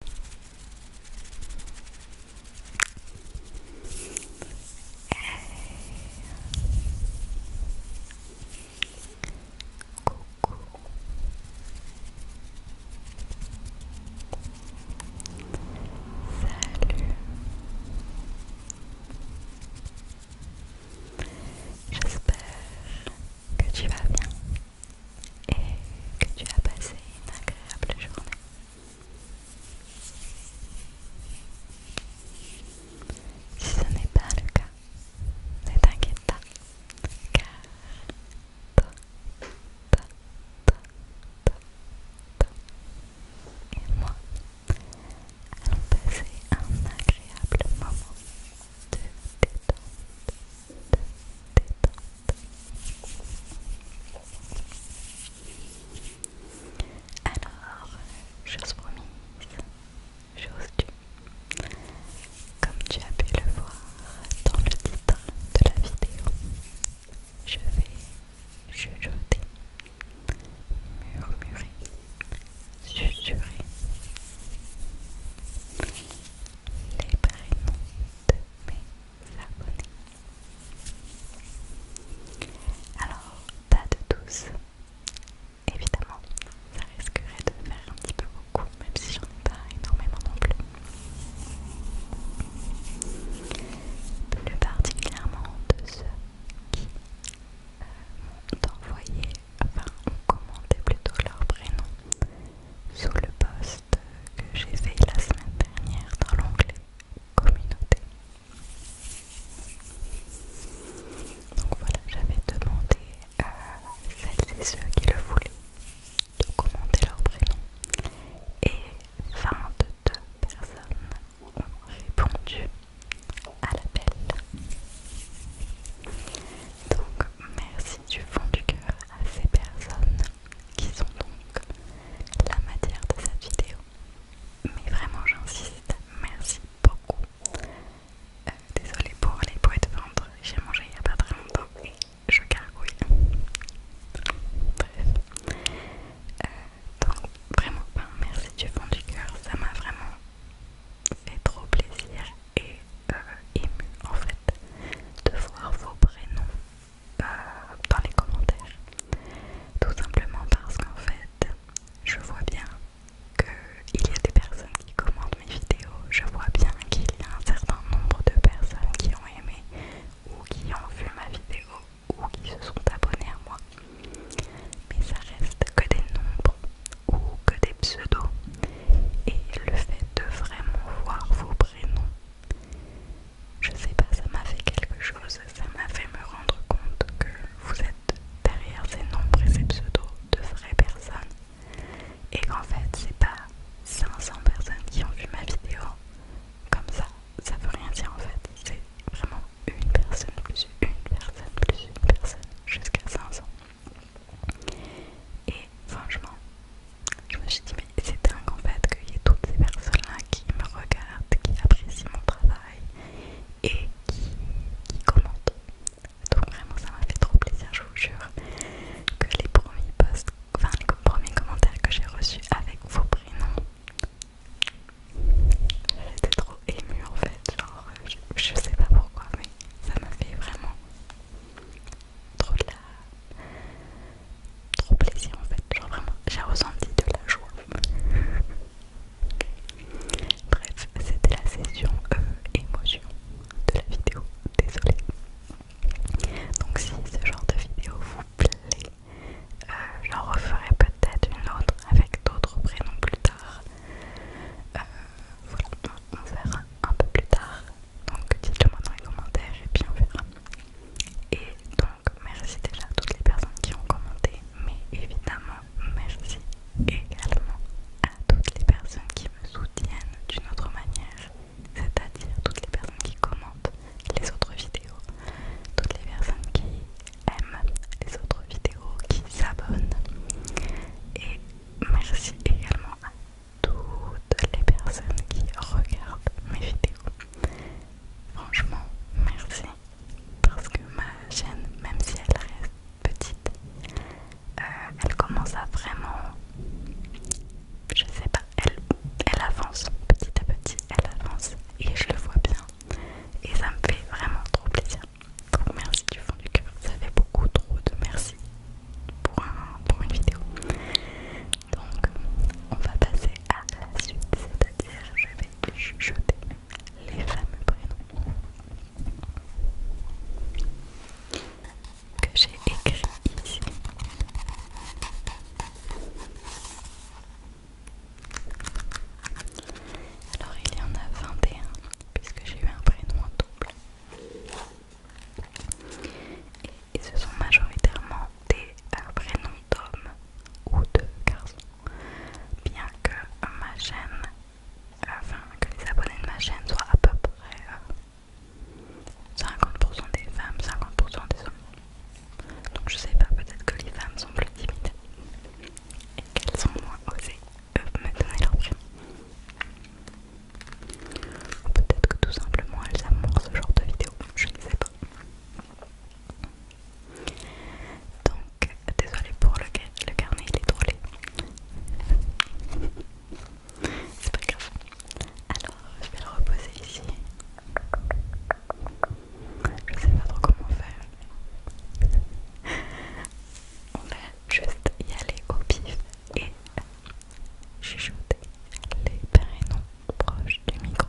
Coucou. Salut. J'espère que tu vas bien et que tu as passé une agréable journée. Si ce n'est pas le cas, ne t'inquiète pas, car toi, toi, toi, toi, toi et moi allons passer un agréable moment de détente, de détente. Alors, chose promise, chose due. Comme tu as pu le voir dans le titre de la vidéo, je vais chuchoter, murmurer, susurrer les prénoms de mes alors, pas de tous. Évidemment, ça risquerait de faire un petit peu beaucoup, même si j'en ai pas énormément non plus. Plus particulièrement de ceux qui euh, m'ont envoyé, enfin ont commenté plutôt leur prénom sous le poste que j'ai fait la semaine dernière dans l'onglet communauté. Donc voilà, j'avais demandé à celles et ceux qui le voulaient de commenter leur prénom et 22 personnes ont répondu à l'appel. Donc merci du fond du cœur à ces personnes qui sont donc la matière de cette vidéo. Mais vraiment j'insiste, merci beaucoup. Euh, désolée pour les poids de ventre, j'ai mangé il n'y a pas très longtemps et je gargouille. Bref. Euh, donc vraiment, merci du fond du cœur, ça m'a vraiment fait trop plaisir et euh, ému en fait de voir vos prénoms euh, dans les commentaires. Tout simplement parce qu'en fait, je vois bien qu'il y a des personnes qui commentent mes vidéos, je vois bien qu'il y a un certain nombre de personnes qui ont aimé ou qui ont vu ma vidéo ou qui se sont abonnés à moi. Mais ça reste que des nombres ou que des pseudos. Et le fait de vraiment voir vos prénoms je sais pas, ça m'a fait quelque chose, ça m'a fait me rendre compte que vous êtes derrière ces nombres et ces pseudos de vraies personnes et qu'en fait c'est pas 500 personnes qui ont vu ma vidéo comme ça, ça veut rien dire en fait, c'est vraiment une personne plus une personne plus une personne jusqu'à 500. Et franchement, je me suis dit, mais c'est dingue en fait qu'il y ait toutes ces personnes-là qui me regardent, qui apprécient mon travail et qui, commentent. Donc vraiment ça m'a fait trop plaisir, je vous jure que les premiers posts, enfin les premiers commentaires que j'ai reçus avec vos prénoms, j'étais trop émue en fait, genre je, je sais pas pourquoi mais ça m'a fait vraiment trop de la... trop plaisir en fait, genre vraiment j'ai ressenti de la joie. Bref, c'était la session euh, émotion de la vidéo, désolé. Donc si ce genre de vidéo vous plaît, euh, j'en referai peut-être une autre avec d'autres prénoms plus tard. Euh, voilà, on verra un peu plus tard. Donc dites-le moi dans les commentaires et puis on verra. Et donc, merci déjà à toutes les personnes qui ont commenté, mais évidemment, merci également à toutes les personnes qui me soutiennent d'une autre manière, c'est-à-dire toutes les personnes qui commentent les autres vidéos, toutes les personnes qui aiment les autres vidéos, qui s'abonnent. Et merci également à toutes les personnes qui regardent mes vidéos. Franchement, merci. Parce que ma chaîne, même si elle reste petite, euh, elle commence à vraiment... Je sais pas, elle, elle avance petit à petit, elle avance et je le vois bien. Et ça me fait vraiment trop plaisir. Donc merci du fond du cœur, ça fait beaucoup trop de merci pour, pour une vidéo. Donc, on va passer à la suite, c'est-à-dire je vais jeter les fameux prénoms que j'ai écrits ici. Alors, il y en a 21 puisque j'ai eu un prénom en double et ce sont majoritairement des euh, prénoms d'hommes ou de garçons. Bien que ma chaîne, enfin que les abonnés de ma chaîne soient à peu près 50% euh, des femmes, 50% des hommes. Donc je sais pas, peut-être que les femmes sont plus timides et qu'elles sont moins osées euh, me donner leur prénom. Peut-être que tout simplement elles aiment ce genre de vidéos, je ne sais pas. Donc, désolé pour le, le carnet, il est trop C'est pas grave. Alors, je vais le reposer ici. Je sais pas trop comment faire. On va juste y aller au pif et chuchoter les prénoms proches du micro.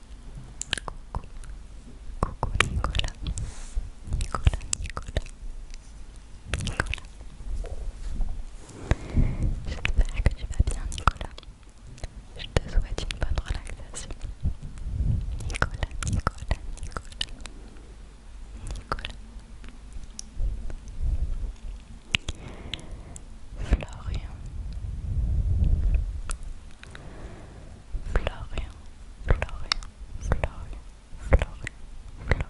Coucou, coucou Nicolas, Nicolas, Nicolas, Nicolas. J'espère que tu vas bien, Nicolas. Je te souhaite une bonne relaxation. Nicolas, Nicolas, Nicolas, Nicolas. Florian Florian, Florian, Florian, Florian, Florian.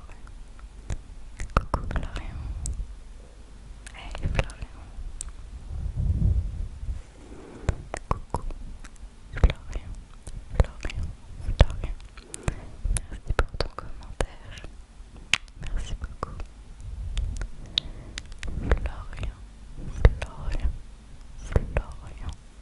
Coucou Florian. Hey Florian. Coucou Florian, Florian, Florian. Merci pour ton commentaire. Merci beaucoup. Florian, Florian,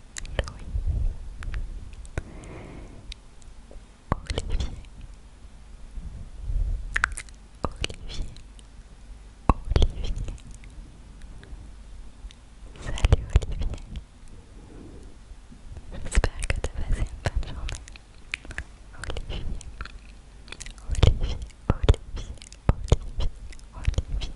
Louis, Olivier, Olivier, Olivier. Salut Olivier, j'espère que tu as passé une bonne journée. Olivier, Olivier, Olivier, Olivier, Olivier.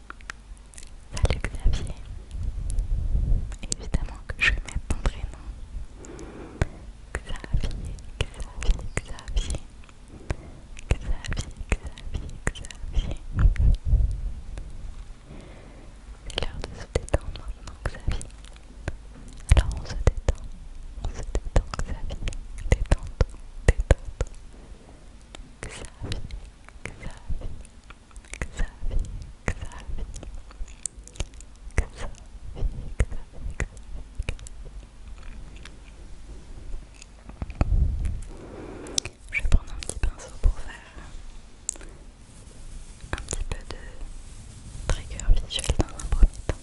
Salut Xavier. Évidemment que je vais mettre ton prénom. Xavier, Xavier, Xavier. Xavier, Xavier, Xavier. C'est l'heure de se détendre maintenant, Xavier. Alors on se détend, on se détend, Xavier. Détente, détente. Xavier, je vais prendre un petit pinceau pour faire un petit peu de trigger visuel dans un premier temps.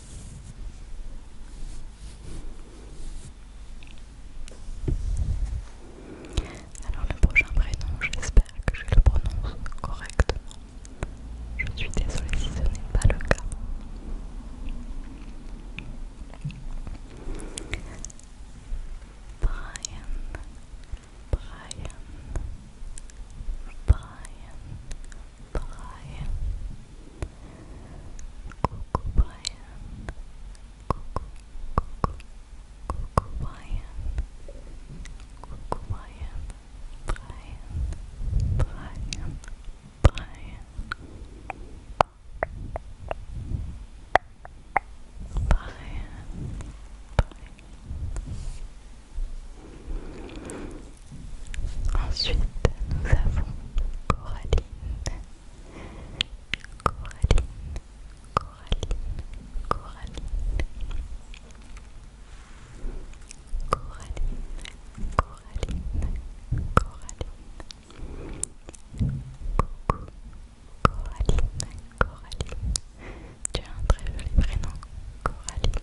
Alors le prochain prénom, j'espère que je le prononce correctement. Je suis désolée si ce n'est pas le cas. Brian, Brian, Brian, Brian. Coucou Brian, coucou, coucou, Coucou Brian, coucou Brian, Brian, Brian, Brian, Brian, Brian. Ensuite, nous avons Coraline, Coraline. Coraline, Coraline. Coraline, Coraline, Coraline. Coucou, Coraline, Coraline. Tu as un très joli prénom, Coraline,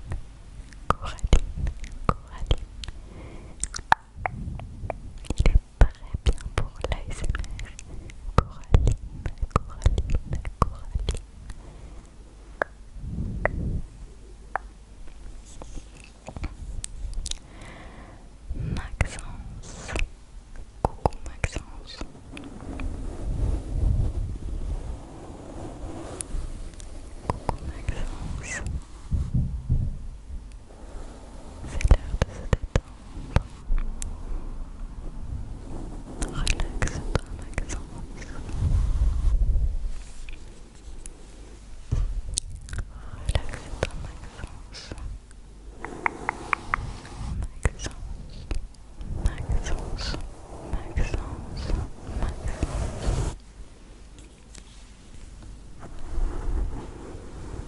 Coraline, Coraline. Il est très bien pour l'ASMR. Coraline, Coraline, Coraline. Maxence, coucou Maxence. Coucou Maxence. C'est l'heure de se détendre. Relaxe-toi, Maxence. Relaxe-toi, Maxence. Maxence, Maxence, Maxence, Maxence.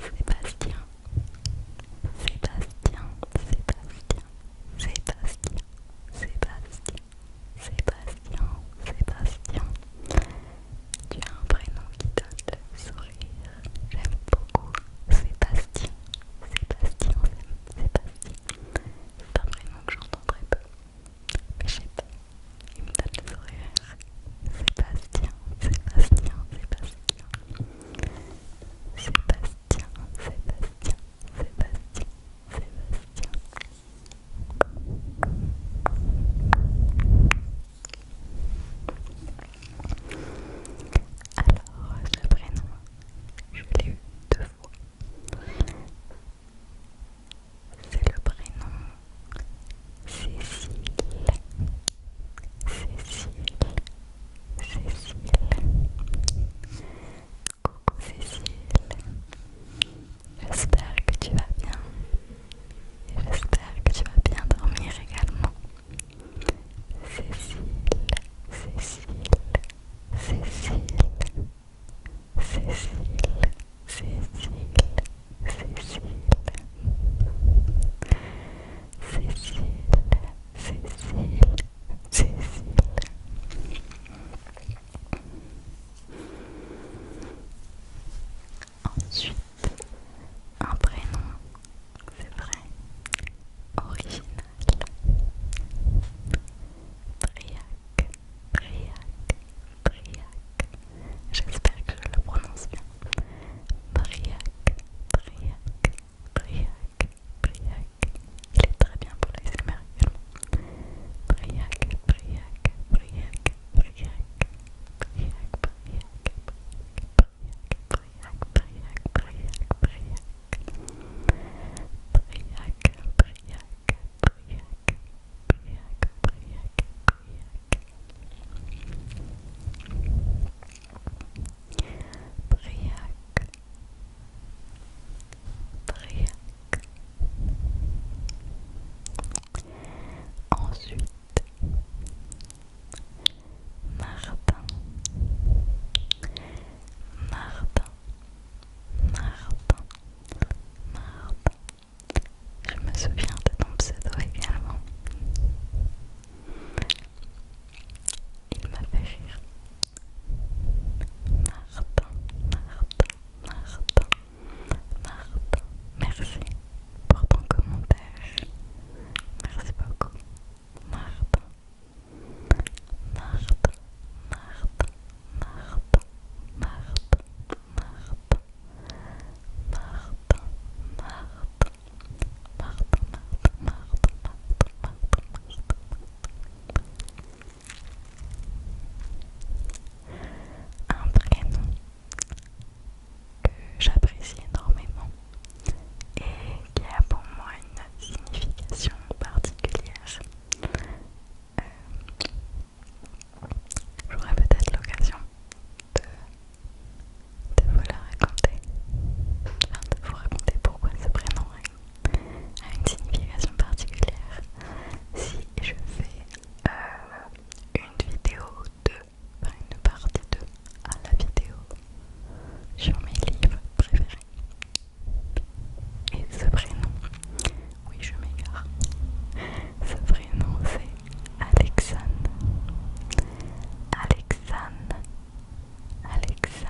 Sébastien Sébastien, Sébastien, Sébastien, Sébastien, Sébastien, Sébastien. Tu as un prénom qui donne le sourire. J'aime beaucoup Sébastien, Sébastien, Sébastien. C'est un prénom que j'entends très peu. Mais je sais pas, il me donne le sourire. Sébastien, Sébastien, Sébastien. Sébastien, Sébastien, Sébastien, Sébastien. Alors, ce prénom, je l'ai eu deux fois. C'est le prénom Cécile. Cécile, Cécile, coucou Cécile, j'espère que tu vas bien j'espère que tu vas bien dormir également. Cécile, Cécile, Cécile, Cécile, Cécile, Cécile. Cécile, Cécile, Cécile. Ensuite, un prénom, c'est vrai, original. Briac, Briac, Briac. J'espère que je le prononce bien. Briac, Briac, Briac, Briac, il est très bien pour Briac, Briac. Ensuite, Martin, Martin, Martin, Martin. Je me souviens de ton pseudo également. Il m'a fait rire. Martin, Martin, Martin, Martin, merci pour ton commentaire. Merci beaucoup. Martin, Martin, Martin, Martin, Martin, Martin, Martin, Martin, un prénom que j'apprécie énormément et qui a pour moi une signification particulière. J'aurais euh, J'aurai peut-être l'occasion de de vous la raconter, de vous raconter pourquoi ce prénom a une signification particulière. Si je fais euh, une vidéo de, enfin une partie de, à la vidéo sur mes livres préférés. Et ce prénom, oui je m'égare, ce prénom c'est Alexane. Alexane. Alexan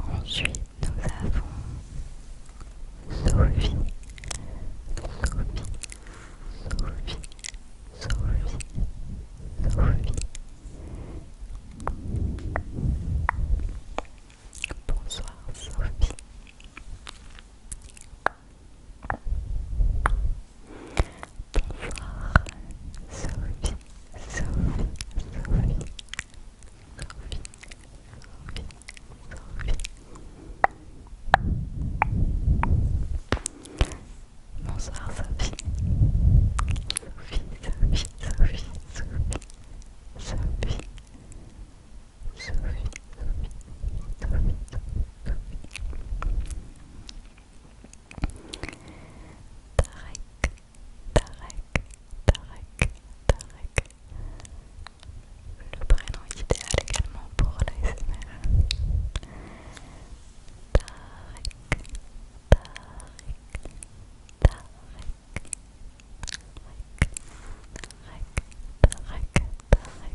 Ensuite, nous avons Sophie, Sophie, Sophie, Sophie, Sophie. Bonsoir Sophie. Bonsoir Sophie, Sophie, Sophie, Sophie, Sophie, Sophie. Bonsoir Sophie. Sophie, Sophie, Sophie, Sophie, Sophie, Sophie, Sophie, Sophie, Sophie. Tarek, Tarek, Tarek, Tarek. Le prénom idéal également pour l'ASMR. Tarek, Tarek, Tarek. Tarek, Tarek, Tarek, Tarek,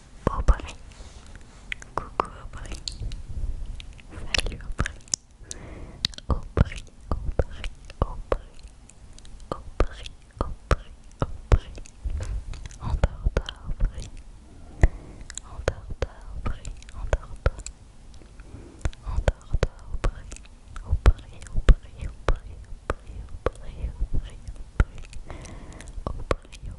Aubry. Coucou Aubry. Salut Aubry. Aubry, Aubry, Aubry. Endors toi Aubry. Endors toi Aubry. Et Laura.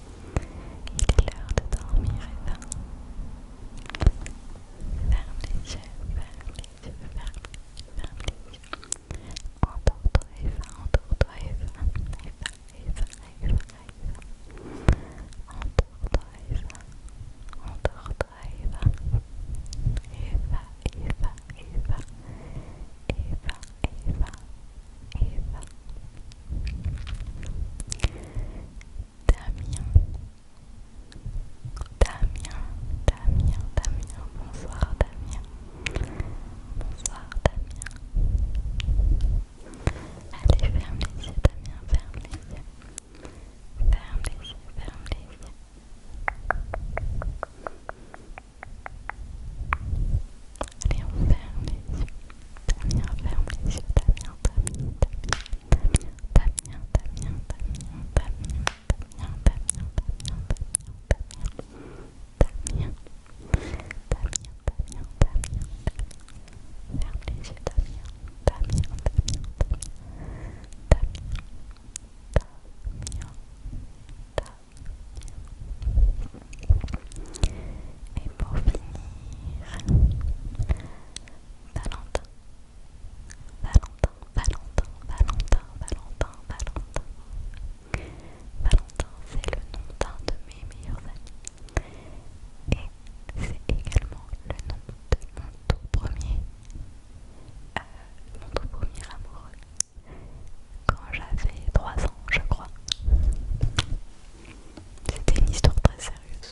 Il est l'heure de dormir, Eva. Ferme les yeux, ferme les ferme les toi Eva, entoure toi Eva. Eva, Eva, Eva, Eva. Eva. Eva, Eva, Eva. Damien. Damien, Damien, Damien, bonsoir Damien. Bonsoir Damien. Allez, ferme les yeux Damien, ferme les yeux. Ferme les yeux, ferme les yeux. Allez, on ferme les Damien, ferme les yeux, Damien, Damien, Damien, Damien, Damien, Damien, Damien, Damien, Damien, Damien, Damien, Damien, Damien, Damien, Damien, Damien, Damien, Damien. Et pour finir, Valentin, Valentin, Valentin, Valentin, Valentin, Valentin. Valentin, c'est le nom d'un de mes meilleurs amis. Et c'est également le nom de mon tout premier, euh, mon tout premier amoureux. Quand j'avais 3 ans, je crois. C'était une histoire très sérieuse.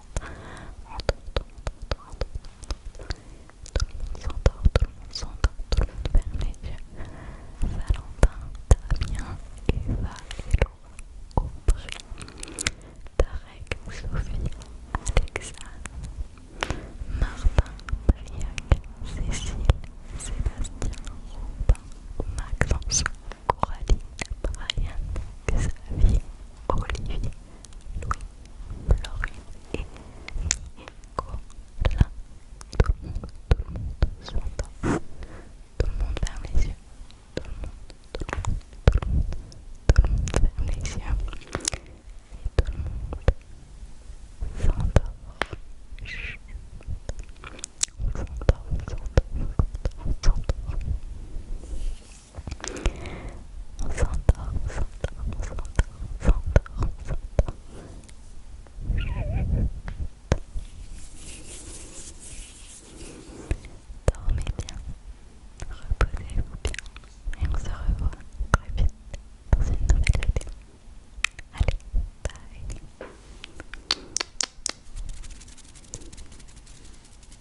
s'endort, tout le monde s'entend, tout le monde ferme les yeux. Valentin, Damien, Eva et tout Tarek, Sophie, Alexa, Martin, Briac, Cécile, Sébastien, Robin, Maxence, Coralie, Brian, Xavier, Olivier, Louis, Florine et Nicolas. Tout le monde, tout le monde Tout le monde ferme les yeux. Tout le monde, tout le monde, tout le monde, tout le monde ferme les yeux. Et tout le monde s'endort. On s'endort, on s'endort, on s'endort. On s'endort, on s'endort, on s'endort, on s'endort, on s'endort. Dormez bien, reposez-vous bien et on se revoit très vite dans une nouvelle vidéo. Allez, bye